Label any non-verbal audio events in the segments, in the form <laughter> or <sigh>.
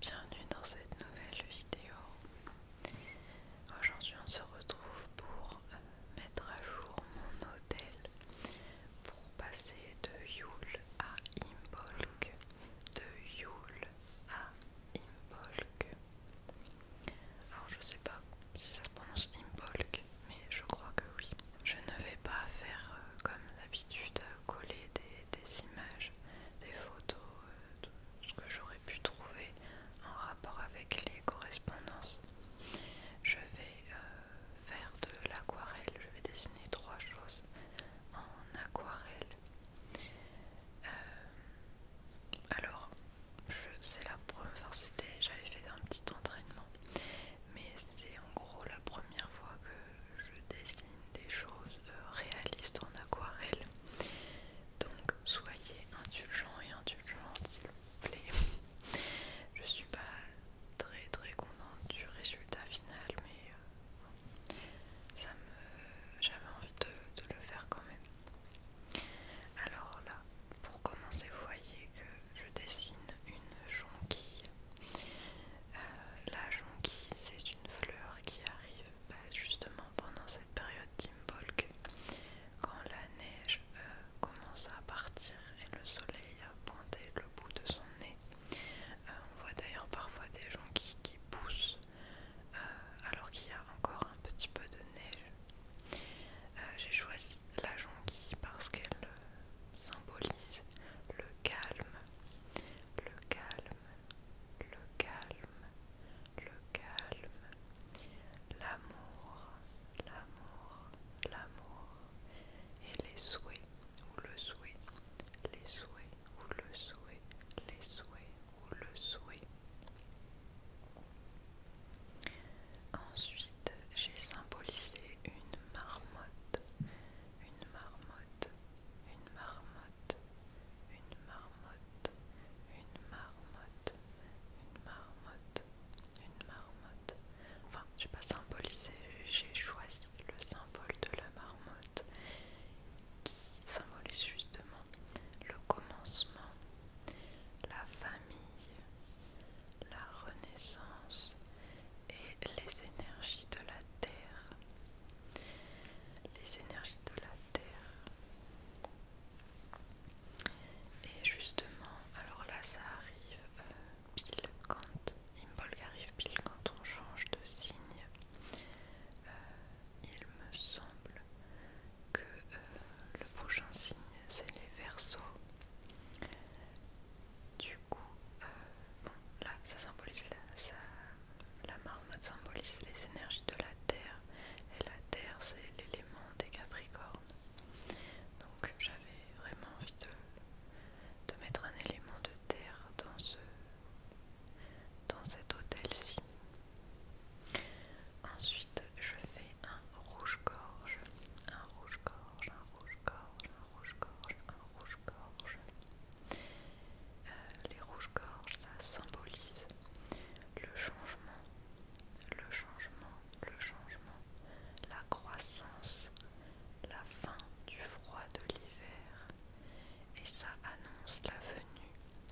Bienvenue dans cette nouvelle vidéo. Aujourd'hui on se retrouve pour euh, mettre à jour mon hôtel pour passer de Yule à Imbolc. De Yule à Imbolc. Alors je sais pas si ça prononce Imbolc, mais je crois que oui. Je ne vais pas faire euh, comme d'habitude, euh, coller des, images, des photos, euh, ce que j'aurais pu trouver en rapport avec les correspondances. Je vais faire de l'aquarelle, je vais dessiner trois choses en aquarelle. alors, c'est la première c'était. j'avais fait un petit entraînement mais c'est en gros la première fois que je dessine des choses euh, réalistes en aquarelle. Donc soyez indulgents et indulgentes s'il vous plaît. <laughs> Je suis pas très très contente du résultat final mais euh, ça me j'avais envie de le faire quand même. Alors là, pour commencer, vous voyez que je dessine une jonquille. Euh, la jonquille, c'est une fleur qui arrive bah, justement pendant cette période d'Imbolc, quand la neige euh, commence à partir et le soleil a pointé le bout de son nez. Euh, on voit d'ailleurs parfois des jonquilles qui poussent alors qu'il y a encore un petit peu de neige. Euh, j'ai choisi la jonquille parce qu'elle euh, symbolise le calme, le calme, le calme, le calme, l'amour, l'amour, l'amour et les souhaits ou le souhait, les souhaits ou le souhait, les souhaits ou le souhait. Ensuite, j'ai symbolisé une marmotte, une marmotte, une marmotte, une marmotte, une marmotte, une marmotte, une marmotte. Enfin, n'ai pas symbolisé, j'ai choisi le symbole de la marmotte qui symbolise justement le commencement, la famille, la renaissance et les énergies de la Terre. Les énergies de la Terre. Et justement, alors là ça arrive euh, pile quand Imbolg arrive pile quand on change de signe. Euh, il me semble que euh, le prochain signe c'est les versos. Du coup, euh, bon, là ça symbolise la, la marmotte symbolise les énergies de la terre et la terre c'est l'élément des capricornes. Donc j'avais vraiment envie de, de mettre un élément de terre dans ce dans cet hôtel-ci. Ensuite je fais un rouge-gorge, un rouge-gorge, un rouge-gorge, un rouge-gorge, un rouge-gorge. Euh, les rouges-gorges, ça symbolise le changement, le changement, le changement, la croissance, la fin du froid de l'hiver. Et ça annonce la venue,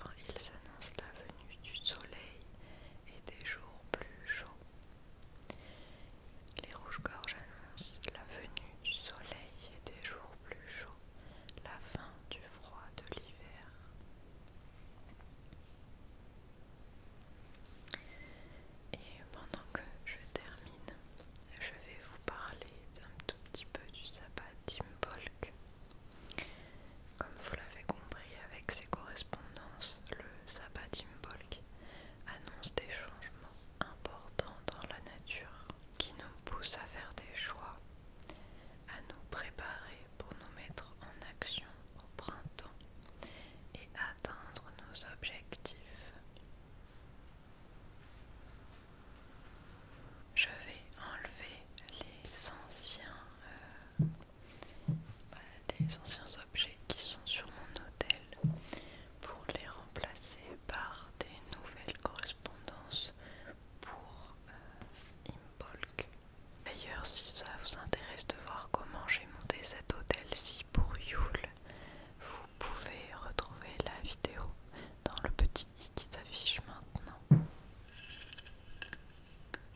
enfin, ils annoncent la venue venue du soleil et des jours plus chauds. Les rouges-gorges annoncent la venue du soleil et des jours plus chauds, la fin du froid de l'hiver. Et pendant que je termine, je vais vous parler d'un tout petit peu du sabbat Tim comme vous l'avez compris avec ses correspondances, le sabbatimbolg annonce des changements importants dans la nature qui nous poussent à faire des choix, à nous préparer pour nous mettre en action au printemps et atteindre nos objectifs. Je vais enlever les anciens euh, voilà, des anciens objets qui sont sur mon hôtel pour les remplacer par des nouvelles correspondances pour euh, Imbolc. D'ailleurs, si ça vous intéresse de voir comment j'ai monté cet hôtel-ci pour Yule, vous pouvez retrouver la vidéo dans le petit i qui s'affiche maintenant.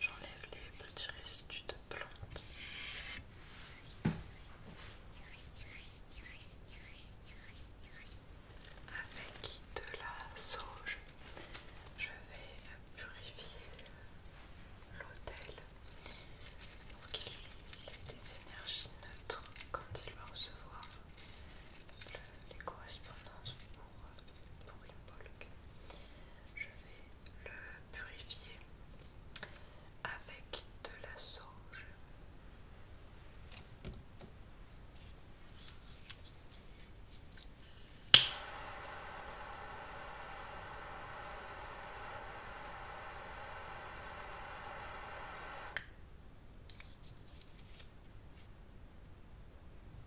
J'enlève les petits restes de plantes. Avec de la sauge, je vais purifier l'autel pour qu'il ait des énergies neutres quand il va recevoir les correspondances pour, Je vais le purifier avec de la sauge.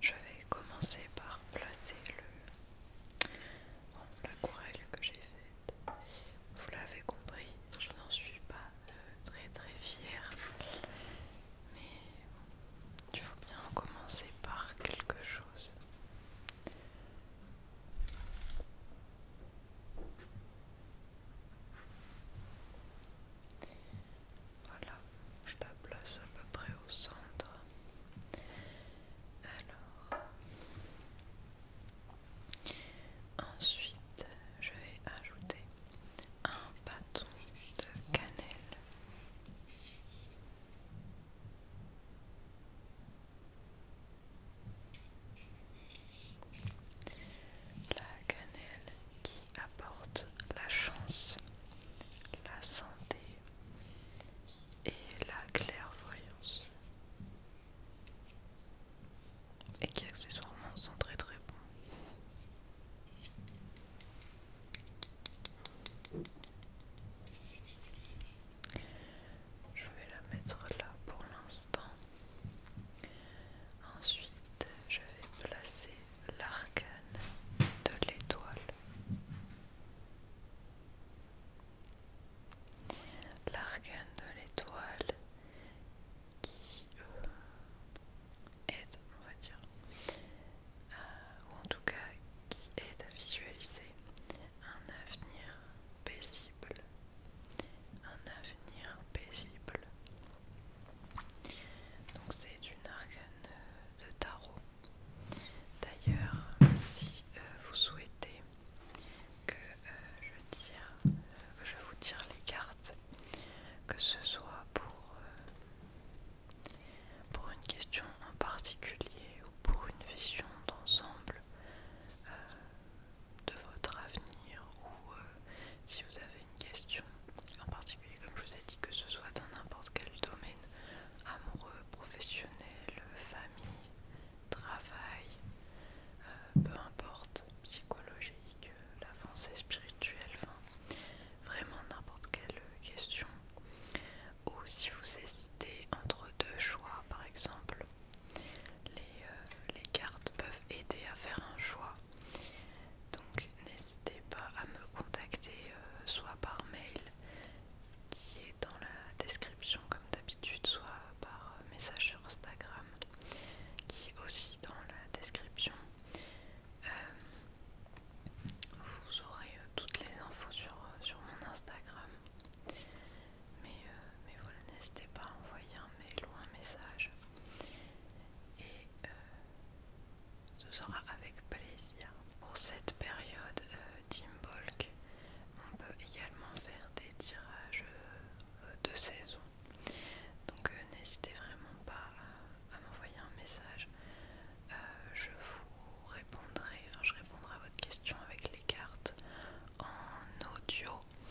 Je vais commencer par placer le, la courelle que j'ai faite. Vous l'avez compris, je n'en suis pas euh, très très fière. Mais il faut bien commencer par quelque chose. Voilà, je la place à peu près au centre. Alors, ensuite, je vais ajouter un bâton de cannelle. La cannelle qui apporte la chance, la santé et la clairvoyance. Et qui accessoirement sont très très bons. Je vais la mettre là pour l'instant. Ensuite, je vais placer l'arcane de l'étoile. L'arcane de l'étoile qui euh, aide, on va dire, euh, ou en tout cas qui aide à visualiser un avenir paisible, un avenir paisible. Donc c'est une arcane de tarot. D'ailleurs, si euh, vous souhaitez que euh, je tire, que euh, je vous tire les cartes, que ce soit pour pour une question en particulier ou pour une vision d'ensemble, de votre avenir ou euh, si vous avez une question en particulier comme je vous ai dit que ce soit dans n'importe quel domaine amoureux, professionnel, famille, travail, euh, peu importe, psychologique, l'avancée spirituelle, vraiment n'importe quelle question. Ou si vous hésitez entre deux choix, par exemple euh, les, cartes peuvent aider à faire un choix. Donc n'hésitez pas à me contacter euh, soit par mail qui est dans la description comme d'habitude, soit par message sur Instagram qui est aussi dans la description. Euh, vous aurez toutes les infos sur mon Instagram. Mais, euh, mais voilà, n'hésitez pas à envoyer un mail ou un message. Et euh, ce sera avec plaisir. Pour cette période euh, Team on peut également faire des tirages de saison. Donc n'hésitez vraiment pas à, m'envoyer un message. je vous répondrai, enfin je répondrai à votre question avec les cartes en audio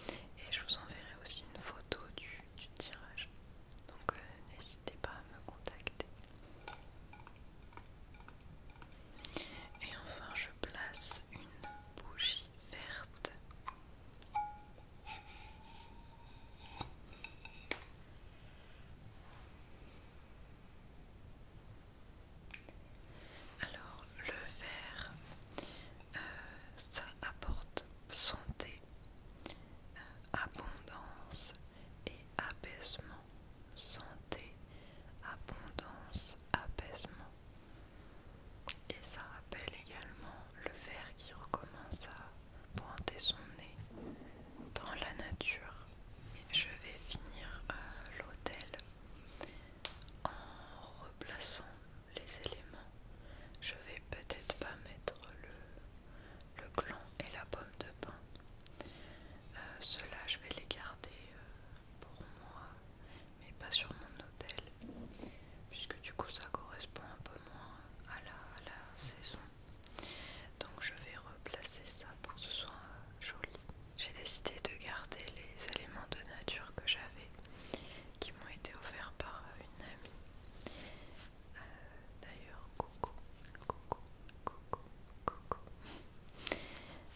et je vous enverrai aussi une photo du, tirage. Donc euh, n'hésitez pas à me contacter. Et enfin je place une bougie verte. Alors le verre, euh, ça apporte santé, euh, abondance et apaisement. Santé, abondance, apaisement. Et ça rappelle également le verre qui recommence à pointer son nez dans la nature. Je vais finir l'autel euh, l'hôtel en replaçant les éléments, je vais peut-être pas mettre le, le gland et la pomme de pin. Euh, ceux-là, je vais les garder euh, pour moi, mais pas sur mon hôtel, puisque du coup, ça correspond un peu moins à la, saison. Donc, je vais replacer ça pour que ce soit joli j'ai décidé de garder les éléments de nature que j'avais, qui m'ont été offerts par euh, une amie. Euh, d'ailleurs, coco, coco, coco, coco.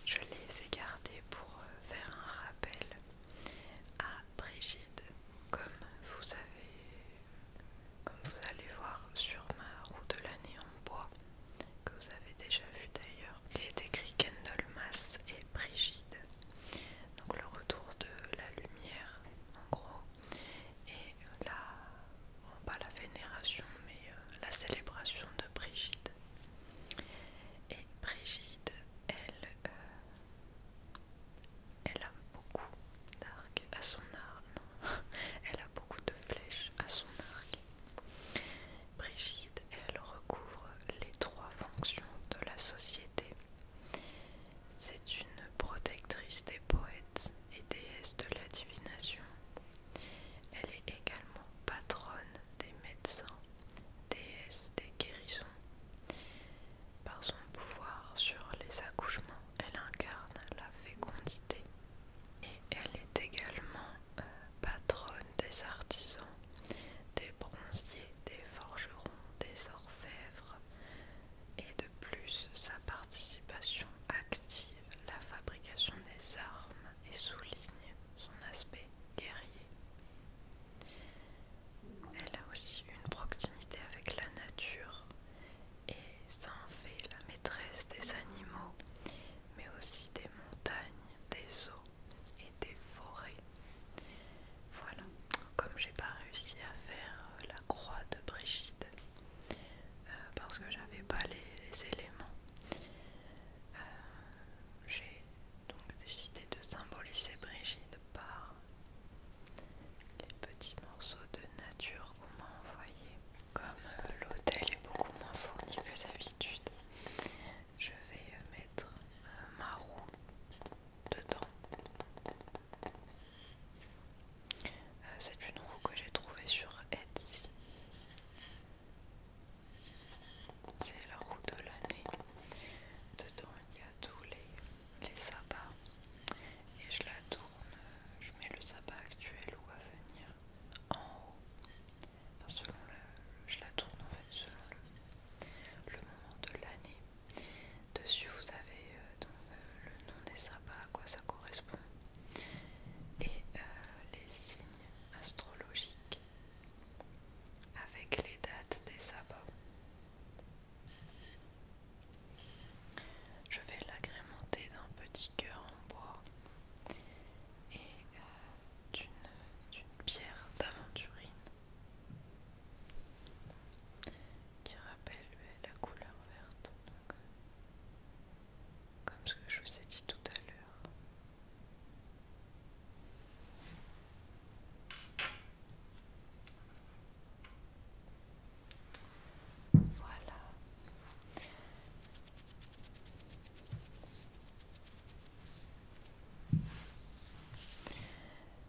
Je les ai gardés pour euh, faire un rappel à Brigitte, comme vous avez, comme vous allez voir sur ma roue de l'année en bois que vous avez déjà vu d'ailleurs. Qui est écrit Kendall Mass et Brigide. Donc le retour de la lumière en gros. Et euh, la, pas la vénération mais euh, la célébration de Brigide. Et Brigide, elle, euh, elle a beaucoup d'arc à son arc. <laughs> elle a beaucoup de flèches à son arc. Brigitte, elle recouvre les trois fonctions de la société. C'est une protectrice des poètes et déesse de la divination. Elle est également patronne des médecins, déesse des guérisons. Par son pouvoir sur les accouchements, elle incarne la fécondité. Et elle est également euh, patronne des artisans, des bronziers, des forgerons, des orfèvres, et de plus sa participation active à la fabrication des armes et souligne son aspect guerrier. Elle a aussi une proximité avec la nature et s'en fait la maîtresse des animaux mais aussi des montagnes, des eaux et des forêts. Voilà, comme j'ai pas réussi à faire euh, la croix de Brigitte euh, parce que j'avais pas les, éléments, euh, j'ai donc décidé de symboliser Brigitte par les petits morceaux de nature qu'on m'a envoyés. Comme euh, l'hôtel est beaucoup moins fourni que d'habitude, je vais euh, mettre euh, ma roue dedans. C'est une roue que j'ai trouvée sur Etsy. C'est la roue de l'année. Dedans il y a tous les, les sabbats. Et je la tourne, je mets le sabbat actuel ou à venir en haut, selon je la tourne en fait selon le, moment de l'année. Dessus vous avez euh, euh, le nom des sabbats, à quoi ça correspond, et euh, les signes astrologiques avec les dates des sabbats. Je vais l'agrémenter d'un petit cœur en bois et euh, d'une pierre d'aventurine qui rappelle la couleur verte, euh, comme ce que je vous ai dit tout à l'heure. Voilà.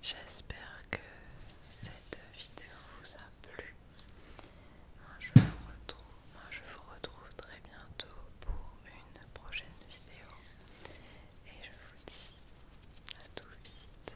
J'espère que cette vidéo vous a plu. Moi je vous retrouve, je vous retrouve très bientôt pour une prochaine vidéo. Et je vous dis à tout vite.